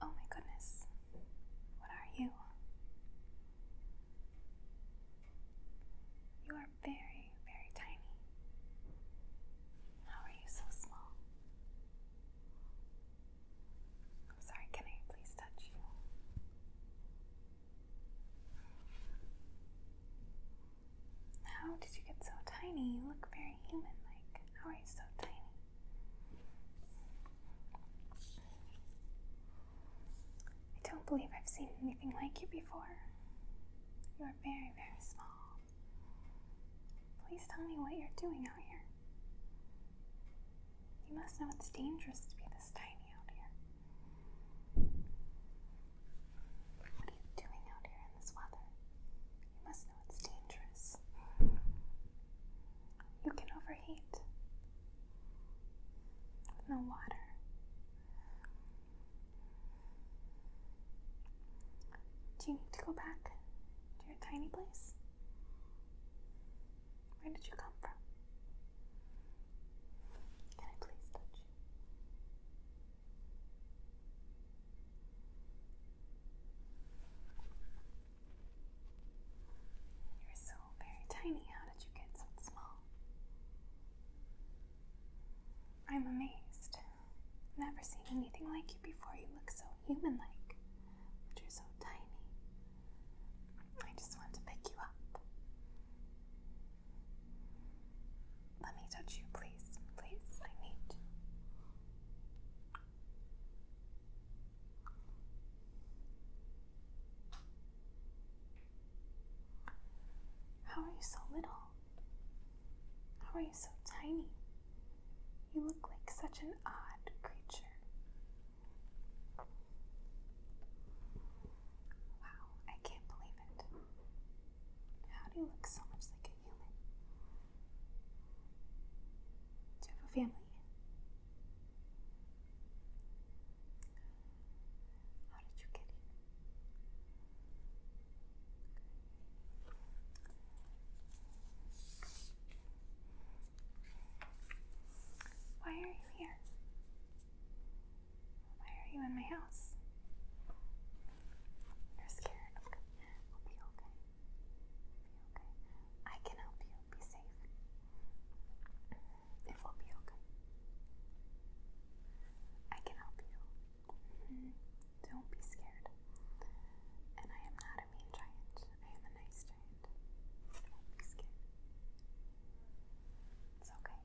Oh my goodness. What are you? You are very, very tiny. How are you so small? I'm sorry, can I please touch you? How did you get so tiny? You look very human like. How oh, are so tiny? I don't believe I've seen anything like you before. You are very, very small. Please tell me what you're doing out here. You must know it's dangerous to be this tiny out here. What are you doing out here in this weather? You must it's dangerous. You can overheat no water. Do you need to go back to your tiny place? Where did you come from? Can I please touch you? You're so very tiny. How did you get so small? I'm amazed. Never seen anything like you before. You look so human like, but you're so tiny. I just want to pick you up. Let me touch you, please. Please, I need How are you so little? How are you so tiny? You look like such an odd creature. Wow, I can't believe it. How do you look so much like a human? Do you have a family? How did you get here? Why are you here? Why are you in my house? You're scared. Okay. will be okay. We'll be okay. I can help you. Be safe. It will be okay. I can help you. Mm-hmm. Don't be scared. And I am not a mean giant. I am a nice giant. Don't be scared. It's okay.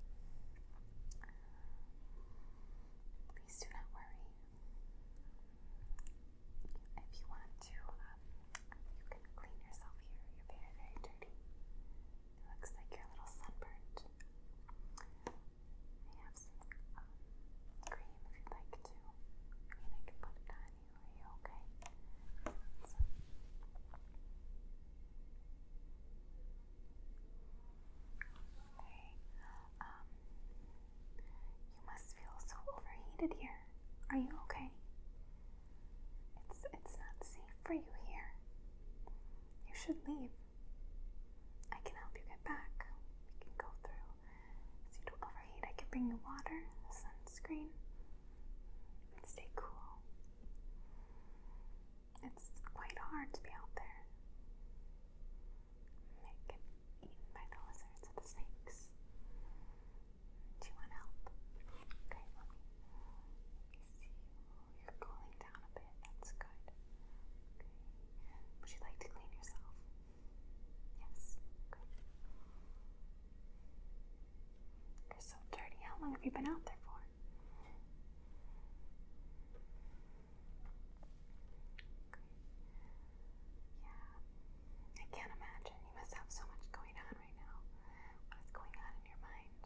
Please do not worry. If you want to, um, you can clean yourself here. You're very, very dirty. It looks like you're a little sunburned. I have some um, cream if you'd like to. I mean, I can put it on you. Are you okay? Okay. Um, you must feel so overheated here. Are you okay? It's it's not safe for you here. You should leave. I can help you get back. We can go through. So you don't overheat. I can bring you water, sunscreen, and stay cool. It's quite hard to be out there. They get eaten by the lizards and the snakes. Do you want help? Okay, let me, see. you're cooling down a bit. That's good. Okay. Would you like to clean yourself? Yes. Good. You're so dirty. How long have you been out there for? Yeah. I can't imagine. You must have so much going on right now. What is going on in your mind?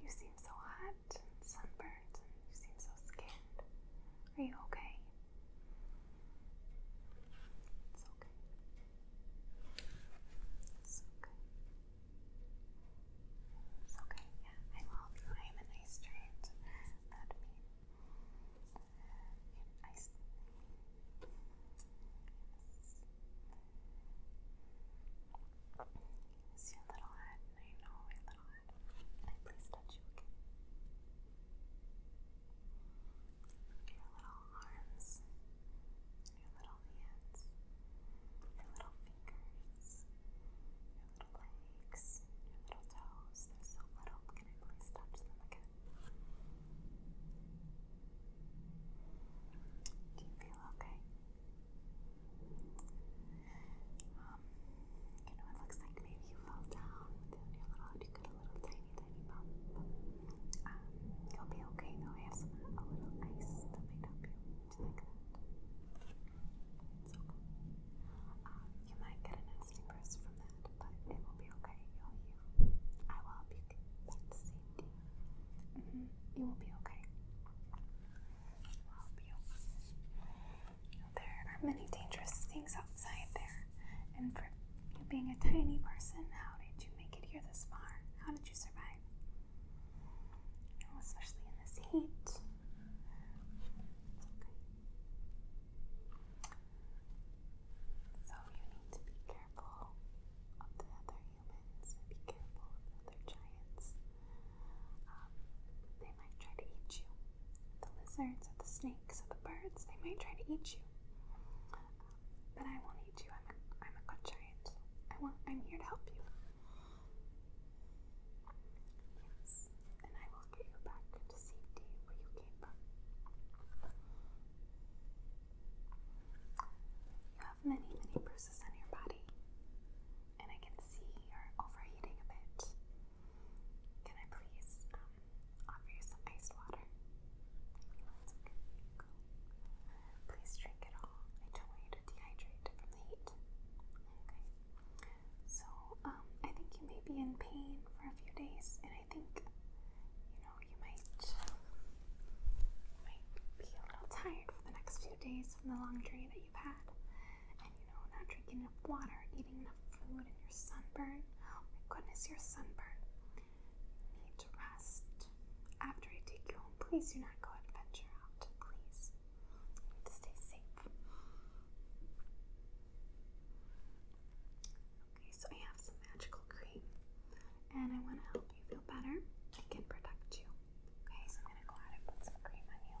You seem so hot and sunburnt and you seem so scared. Are you okay? It's okay. It's okay. It's okay, yeah. I will. I am an ice giant. That means in ice. Yes. It's your little head, I know my little head. I please touch you again? your little arms, your little hands, your little fingers, your little legs, your little toes. They're little. Can I please touch Do you feel okay? Um, you know, it looks like maybe you fall down with you got a little tiny, tiny bump. Um, you'll be okay though. I have some a little ice that might help you. Would you like you might get a nasty bruise from that, but it will be okay. I will help you get back to mm-hmm. will be okay. I'll help you. There are many dangerous things outside there, and for you being a tiny person, how did you make it here this far? How did you survive? Especially in this heat. So you need to be careful of other humans, be careful of other giants. Um, they might try to eat you the lizards or the snakes or the birds. They might try to eat you. But I won't eat you. I'm a, I'm a good giant. I want, I'm here to help you. Yes, and I will get you back to safety where you came from. You have many, many bruises on your body, and I can see you're overheating a bit. Can I please um, offer you some iced water? Thank okay. Cool. Please drink it all. I don't want you to dehydrate from the heat. Okay. So, um, I think you may be in pain for a few days, and I think, you know, you might, might be a little tired for the next few days from the long journey that you've had. And, you know, not drinking enough water, eating enough food and your sunburn. Oh my goodness, your sunburn. need to rest. After I take you home, please do not go and venture out. Please. need to stay safe. Okay, so I have some magical cream and I want to help you feel better I can protect you. Okay, so I'm going to go ahead and put some cream on you.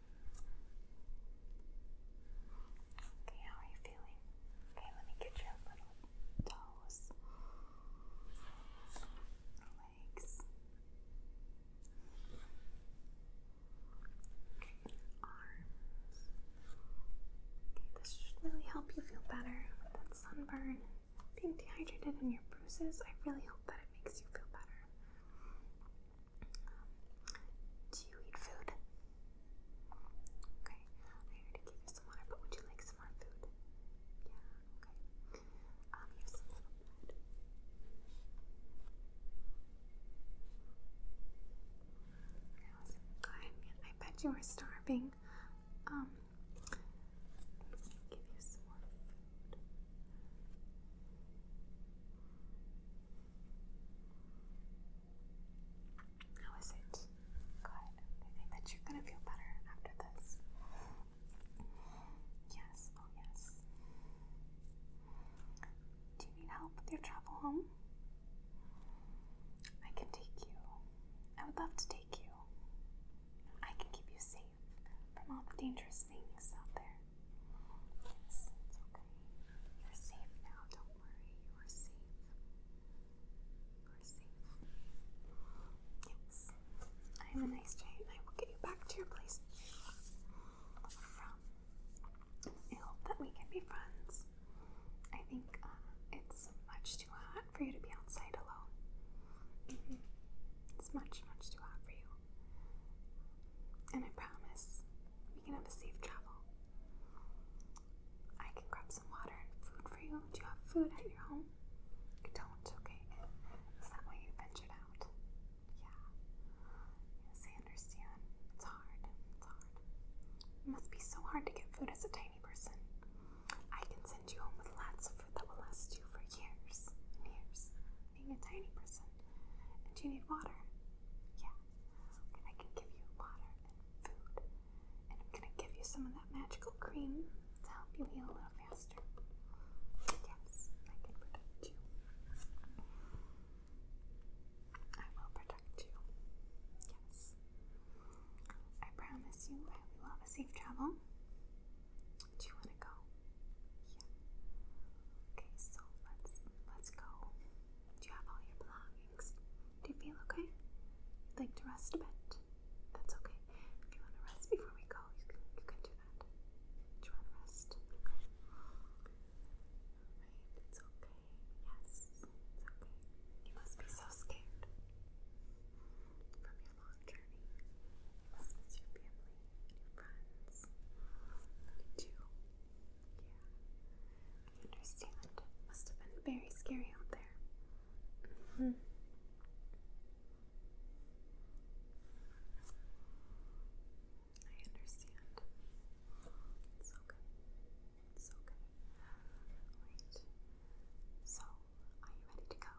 Okay, how are you feeling? Okay, let me get your little toes, legs, arms. Okay, this should really help you feel better with that sunburn. Being dehydrated and your bruises, I really hope that it makes you feel better do you eat food? Okay, I already gave you some water, but would you like some more food? Yeah, okay. Um, here's some little bread. I I bet you were starving. Um, give you some more food. How is it? Good. I think you're going to feel better after this. Yes, oh yes. Do you need help with your travel home? I can take you. I would love to take you. I can keep you safe from all the dangerous things out there. Yes, it's okay. You're safe now, don't worry. You are safe. You are safe. Yes. I am a nice giant. I will get you back to your place from. I hope that we can be friends. I think uh, it's much too hot for you to be outside alone. It's much, much too hot for you. And I promise we can have a safe travel. I can grab some water and food for you. Do you have food at your home? You don't, okay? Is that why you ventured out? Yeah. Yes, I understand. It's hard. It's hard. must be so hard to get food as a tiny person. I can send you home with lots of food that will last you for years and years. Being a tiny person, and do you need water. Yeah, I can give you water and food, and I'm gonna give you some of that magical cream to help you heal a little faster. Yes, I can protect you. I will protect you. Yes. I promise you we will have a safe travel. Do you wanna go? Yeah. Okay, so let's let's go. Do you have all your belongings? Do you feel okay? You'd like to rest a bit? That's okay. If you wanna rest before we go, you can you can do that. Do you wanna rest? it's okay. Yes, it's okay. You must be so scared from your long journey. your family your friends. You too. Yeah. I understand. must have been very scary out there. -hmm. I understand. It's okay. It's okay. Wait. So are you ready to go? You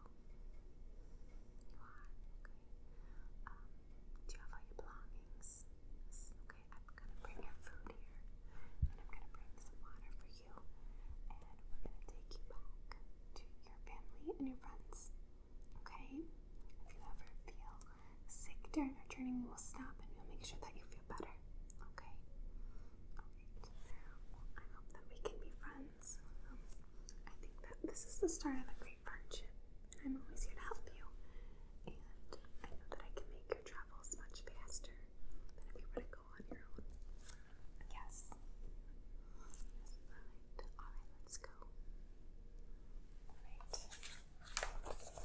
are? Okay. Um, do you have all your belongings? Okay, I'm going to bring your food here. And I'm going to bring some water for you. And we're going to take you back to your family and your friends. Okay? If you ever feel sick during our journey, we will stop and we'll make sure that you feel better. Okay? I hope that we can be friends. Um, I think that this is the start of a great friendship, and I'm always here to help you. And I know that I can make your travels much faster than if you were to go on your own. yes. Alright, alright, let's go. Alright. Alright, goodbye.